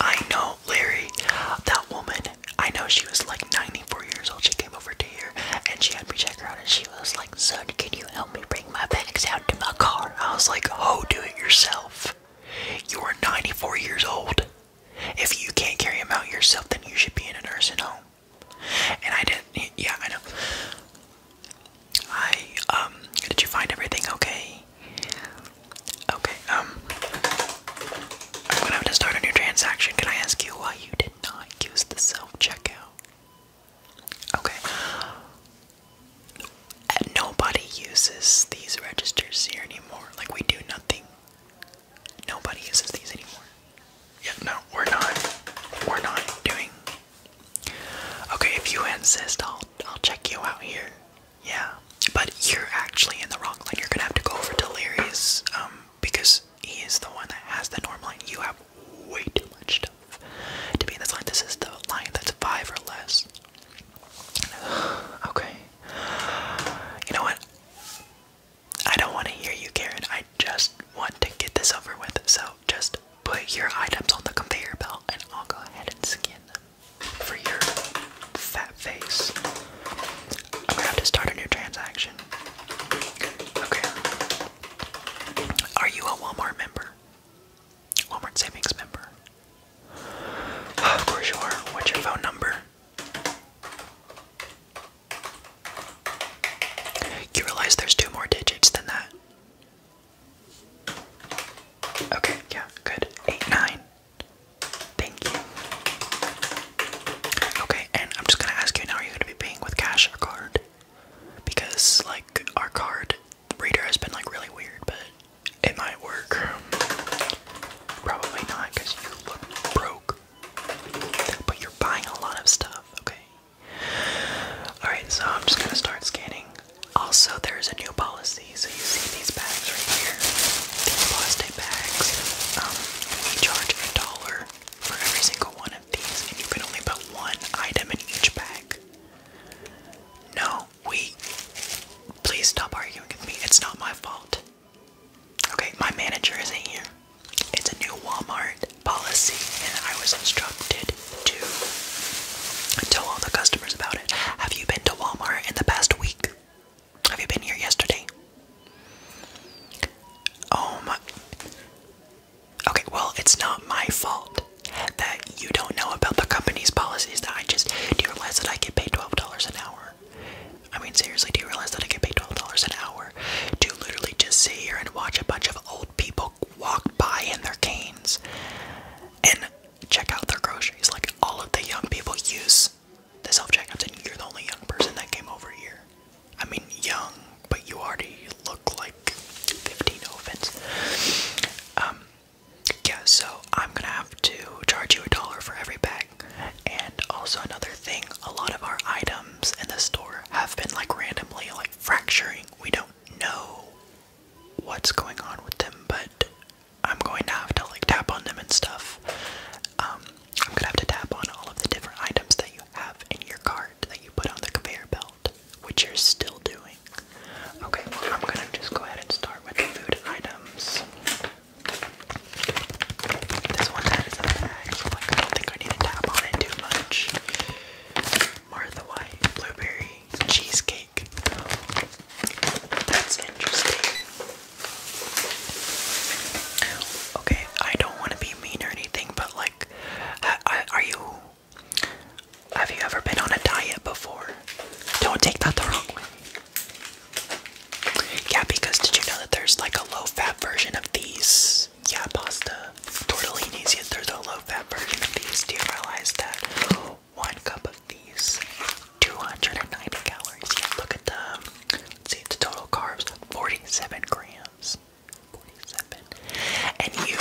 I know, Larry, that woman, I know she was like 94 years old. She came over to here and she had me check her out and she was like, Son, can you help me bring my bags out to my car? I was like, Oh, do it yourself. You are 94 years old. If you can't carry them out yourself, then you should be in a nursing home. And I did yeah, I know. I, um, did you find everything okay? Okay, um, I'm gonna have to start a new transaction. Can I ask you why you did not use the self checkout? Okay. nobody uses these registers here anymore. Like, we do nothing. Nobody uses these anymore. Yeah, no, we're not. We're not doing. Okay, if you insist, I'll I'll check you out here. Yeah, but you're actually in the wrong line. You're gonna have to go over Delirious, um, because he is the one that has the normal line. You have way too much stuff to be in this line. This is the line that's five or less. okay. You know what? I don't want to hear you, Karen. I just want to get this over with. So just put your items on the conveyor belt and I'll go ahead and skin them for your fat face. I'm gonna have to start a new transaction. Okay. Are you a Walmart member? Walmart savings member? of course you are. What's your phone number? You realize there's two more digits than that. Okay, yeah, good. Eight, nine. Thank you. Okay, and I'm just gonna ask you now are you gonna be paying with cash or card? Because, like, our card reader has been, like, really weird, but it might work. Probably not, you look broke. But you're buying a lot of stuff, okay? Alright, so I'm just gonna start scanning also, there's a new policy. So you see these bags right here, these plastic bags. Um, we charge a dollar for every single one of these, and you can only put one item in each bag. No, we. Please stop arguing with me. It's not my fault. Okay, my manager isn't here. It's a new Walmart policy, and I was instructed tell all the customers about it. Have you been to Walmart in the past week? Have you been here yesterday? Oh my. Okay, well, it's not my fault that you don't know about the company's policies that I just. Do you realize that I get paid $12 an hour? I mean, seriously, do you realize that I get paid $12 an hour to literally just sit here and watch a bunch of old people walk by in their canes? and check out their groceries. Like all of the young people use the self-checkouts and you're the only young person that came over here. I mean young, but you already look like 15, no offense. Um, yeah, so I'm gonna have to charge you a dollar for every bag. And also another thing, a lot of our items in the store have been like randomly like fracturing. We don't know what's going on with them, but I'm going to have to like tap on them and stuff. Um, I'm gonna have to tap on all of the different items that you have in your cart that you put on the conveyor belt, which you're still doing. Okay, well, I'm gonna just go ahead and start with the food items. This one that is in the like I don't think I need to tap on it too much. Martha White blueberry cheesecake. That's interesting. Okay, I don't want to be mean or anything, but like, are you? Have you ever been on a diet before? Don't take that the wrong way. Yeah, because did you know that there's like a low fat version of these? Yeah, pasta tortellinis. Yeah, they're the do you realize that one cup of these, 290 calories? Yeah, look at the, see, the total carbs, 47 grams. 47. And you,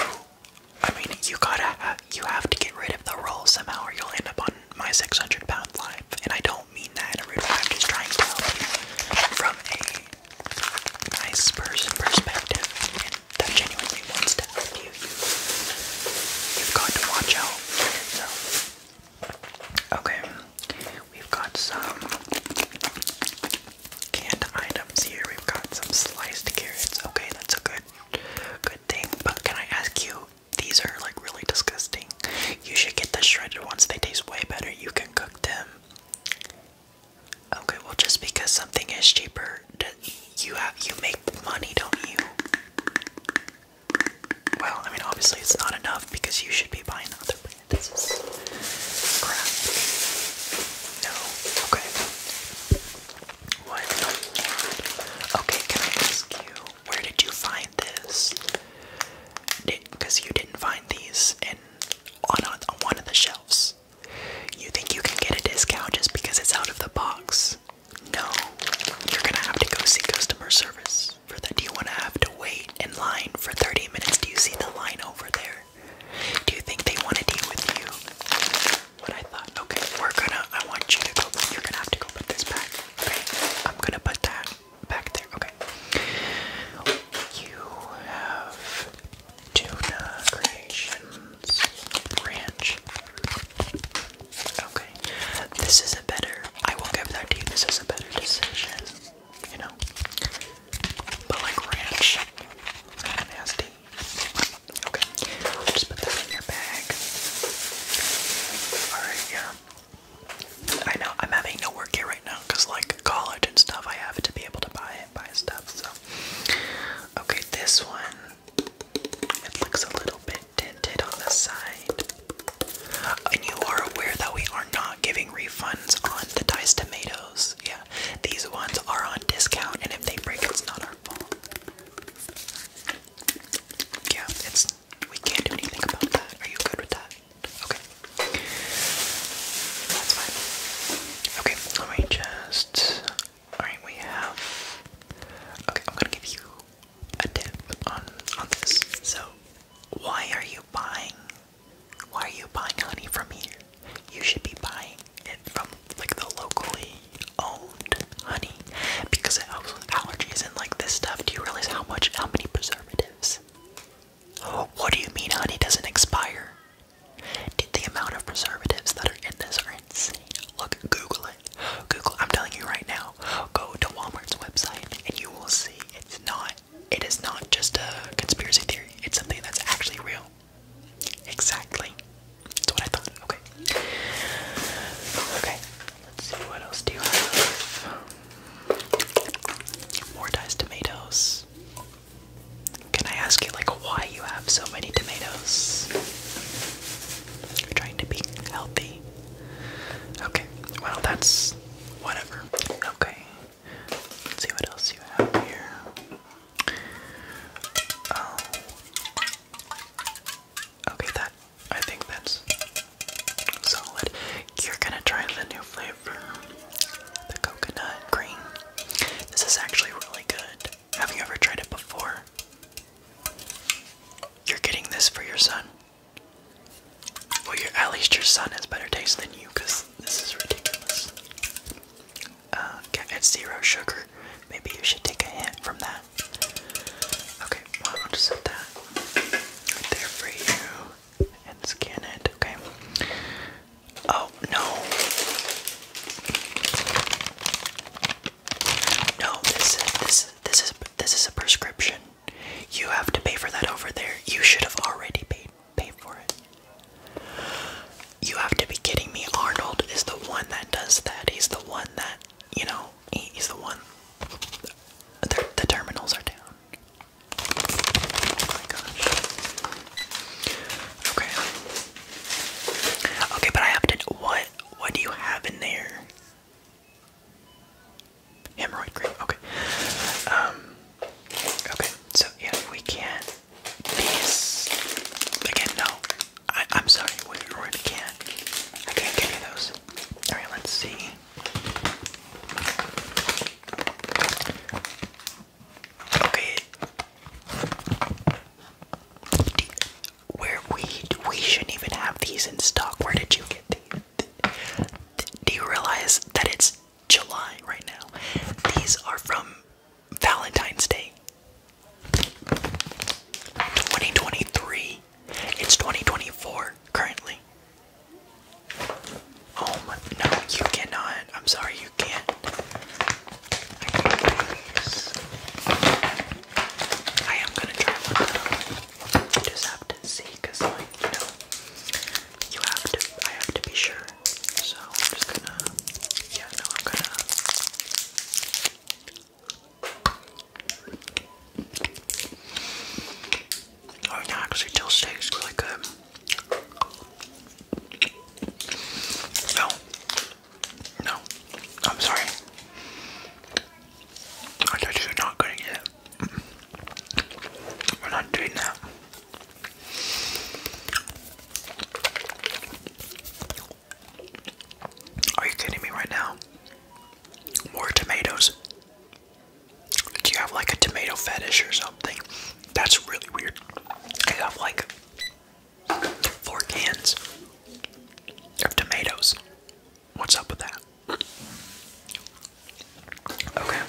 I mean, you gotta, you have to get rid of the roll somehow or you'll end up on my 600 pound life. And I don't mean that in a rude way, I'm just trying to help you from a nice person perspective that genuinely wants to help you, you've got to watch out. So, okay, we've got some canned items here. We've got some sliced carrots. Okay, that's a good, good thing. But can I ask you? These are like really disgusting. You should get the shredded ones. They taste way better. You can cook them. Okay, well, just because something is cheaper, you have you make money, don't you? Well, I mean, obviously it's not enough because you should be buying other brand. crap. No. Okay. What? Okay, can I ask you where did you find this? Because you didn't find these in on on one of the shelves. You think you can get a discount just because it's out of the box? No, you're gonna have to go see customer service for that. Do you want to have to wait in line for 30 minutes? Do you see the line over there? Do you think they want to deal with you? What I thought. Okay, we're gonna. I want you to go. You're gonna have to go put this back. Okay, I'm gonna put that back there. Okay. You have Tuna Creations Ranch. Okay, this is a better, I will give that this is a better decision, you know? But like ranch, nasty. Okay, just put that in your bag. Alright, yeah. I know, I'm having no work here right now, because like college and stuff, I have to be able to buy okay, this one it looks a little bit tinted on the side. And you are aware that we are not giving refunds on the diced tomatoes. Yeah, these ones are on discount, and if they break, it's not our fault. Yeah, it's we can't do anything about that. Are you good with that? Okay. That's fine. Okay, let me just Alright, we have. Okay, I'm gonna give you a tip on on this. So, why are you buying? Why are you buying honey from here? You should be buying it from like the locally owned honey because it helps with allergies and like this stuff. Do you realize how much, how many preservatives? Oh, what do you mean honey doesn't expire? the amount of preservatives that are in this are insane. Look, Google it. Google, I'm telling you right now, go to Walmart's website and you will see it's not, it is not just a conspiracy theory. It's something that's actually real. Exactly. That's what I thought. Okay. Okay. Let's see what else do you have. Mortized tomatoes. Can I ask you, like, why you have so many tomatoes? You're trying to be healthy. Okay, well, that's whatever. Okay, let's see what else you have here. Oh. Okay, that, I think that's solid. You're gonna try the new flavor the coconut green. This is actually really good. Have you ever tried it before? You're getting this for your son. Well, your, at least your son has better taste than you, because this is ridiculous. Uh, it's zero sugar. Maybe you should take a hint from that. Okay, I'll just set that right there for you and scan it, okay? Oh no. No, this is this this is this is a prescription. You have to pay for that over there. You should have already paid paid for it. You have to be kidding me. Arnold is the one that does that. He's the one that, you know, he's the one. the terminals are down. Oh okay. Okay, but I have to what what do you have in there? Hemorrhoid cream, okay. Um Okay, so yeah, we can't these again no. I I'm sorry, we can't. I can't give you those. Alright, let's see. Okay. Where we we shouldn't even have these in stock. Where did you get these? Do you realize that it's July right now? These are from Valentine's Day. 2023. It's 2024 currently. Oh my, no, you cannot. I'm sorry, you can't. I can't I am sorry you can not i i am going to try one though. You just have to see, you know, you have to, I have to be sure. So I'm just gonna, yeah, no, I'm gonna. Oh, no, actually, dill steak's really good. No. No. I'm sorry. I thought you were not gonna get it. We're not doing that. Are you kidding me right now? More tomatoes. Do you have like a tomato fetish or something? That's really weird. I have like four cans of tomatoes. What's up with that? Okay.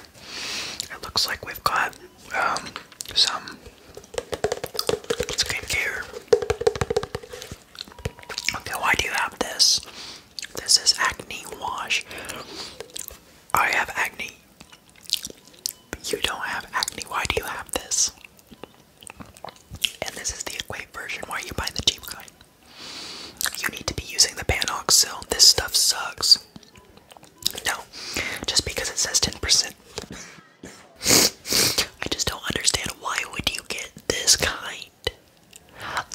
It looks like we've got um, some skincare. Okay, why do you have this? This is acne wash. I have acne you don't have acne, why do you have this? And this is the Equate version, why are you buying the cheap kind? You need to be using the Panoxil, this stuff sucks. No, just because it says 10%. I just don't understand why would you get this kind?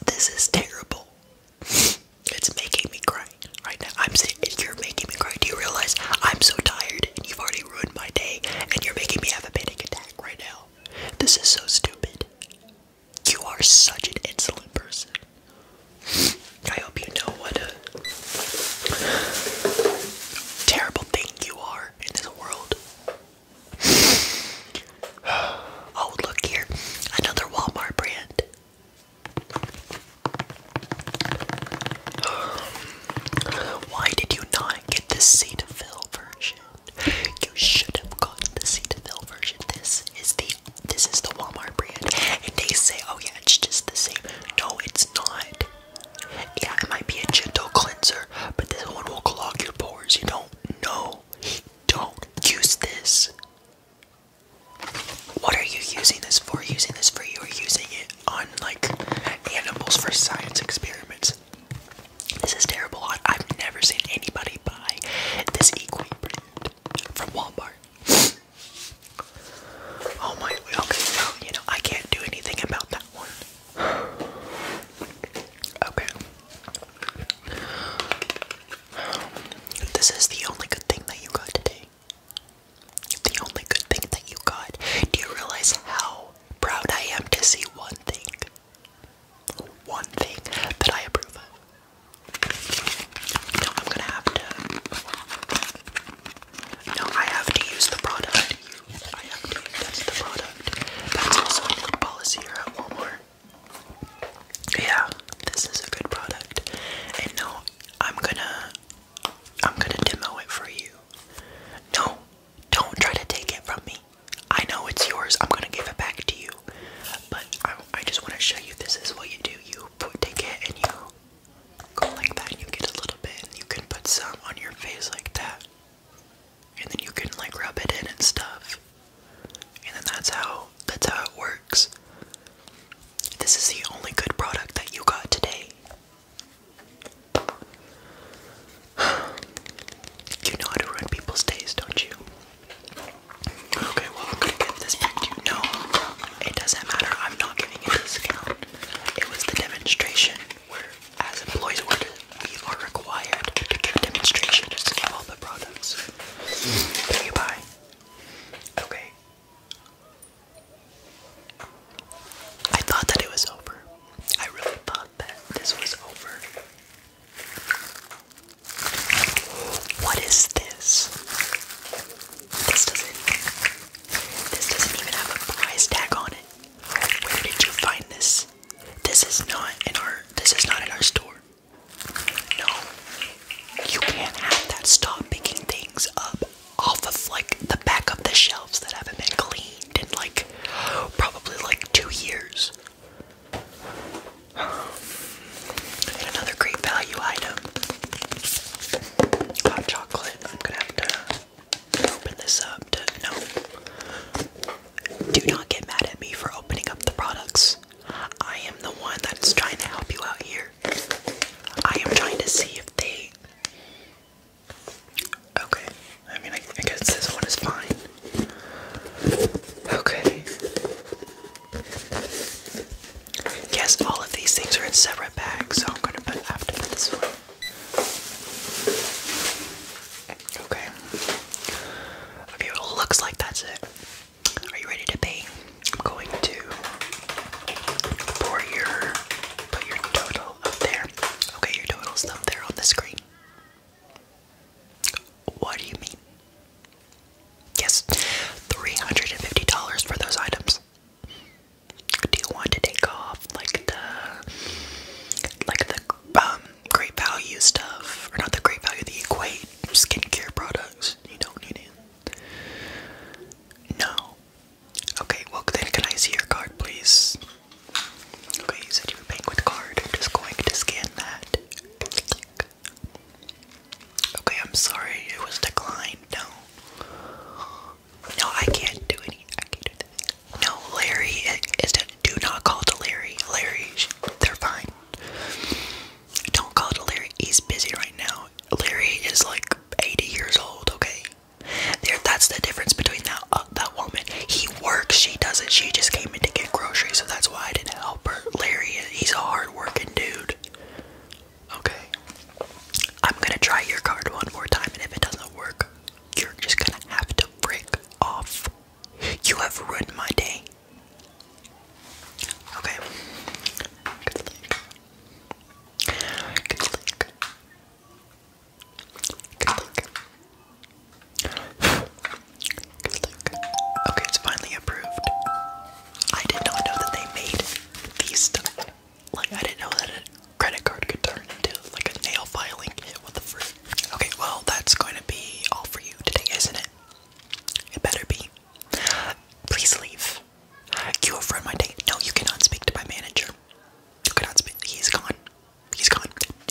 This is terrible. It's making me cry right now. I'm saying you're making me cry. Do you realize I'm so tired and you've already ruined my day and you're making me have a panic attack right now? This is so stupid. You are such an insolent person. I hope you know what a terrible thing you are in this world. Oh, look here. Another Walmart brand. Why did you not get the Cetaphil version? You should have gotten the Cetaphil version. This is the this is the Walmart brand, and they say, oh yeah, it's just the same. No, it's not. Yeah, it might be a gentle cleanser, but this one will clog your pores. You don't know. Don't use this. What are you using this for? Using this for you are using it on like animals for science experiments. This is terrible. I, have never seen anybody buy this equine brand from Walmart. Oh my, okay, well, you know, I can't do anything about that one. Okay. This is the only good thing that you got today. The only good thing that you got. Do you realize how proud I am to see one thing? One thing that I approve of. No, I'm gonna have to. No, I have to use the product. I have to. That's the product. That's also a new policy here at Walmart yeah, this is a good product. And no, I'm gonna I'm gonna demo it for you. No, don't try to take it from me. I know it's yours. I'm gonna give it back to you. But I, I just want to show you this is what you do. You put, take it and you go like that. And you get a little bit. And you can put some on your face like that. And then you can like rub it in and stuff. And then that's how that's how it works. This is the only good product that you got today. You know how to ruin people's days, don't you? Okay, well I'm gonna get this back to you. No, it doesn't matter. I'm not giving a discount. It was the demonstration where as employees we are required to give demonstrations of all the products that you buy. Okay. I thought that it was over. I really thought that this was over. What is this? This doesn't This doesn't even have a price tag on it. Where did you find this? This is not in our this is not in our store. No, you can't have that. Stop picking things up off of like the back of the shelves that haven't been cleaned in like probably like two years. another great value item. Hot chocolate. I'm gonna have to open this up no. Do not get mad at me for opening up the products. I am the one that's trying to help you out here. I am trying to see if they. Okay, I mean, I, guess this one is fine. Okay. Yes, all of these things are in separate bags, so I'm gonna put, have to put this one. Okay. Okay, it looks like that's it. Are you ready to pay? I'm going to pour your put your total up there. Okay, your total's up there on the screen. What do you mean? Yes, $350 for those items. Do you want to take off like the like the um, great value stuff or not the great value the equate skincare products. You don't need it. No. Okay, well then can I see your card please? Okay, you said you were paying with card. I'm just going to scan that. Okay, I'm sorry, it was declined. No. No, I can't do any I can't do anything. No, Larry is do not call to Larry. Larry, they're fine. Don't call Larry. He's busy right now. Larry is like 80 years old. Okay, there. That's the difference between that uh, that woman. He works. She doesn't. She just came in to get groceries, so that's why I didn't help her. Larry, he's a hard-working dude. Okay, I'm gonna try your card one more time, and if it doesn't work, you're just gonna have to break off. You have ruined my day. Okay. Good luck. Good luck. Good luck. Okay, it's finally approved. I did not know that they made these stuff. Like, I didn't know that a credit card could turn into like a nail filing What the frick? Okay, well, that's going to be all for you today, isn't it? It better be. Please leave. You have ruined my day. No, you cannot speak to my manager. You cannot speak. He's gone. He's gone.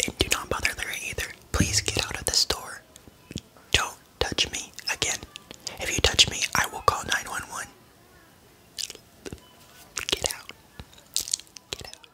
And do not bother Larry either. Please get out of the store. Don't touch me again. If you touch me, I will call 911. Get out. Get out.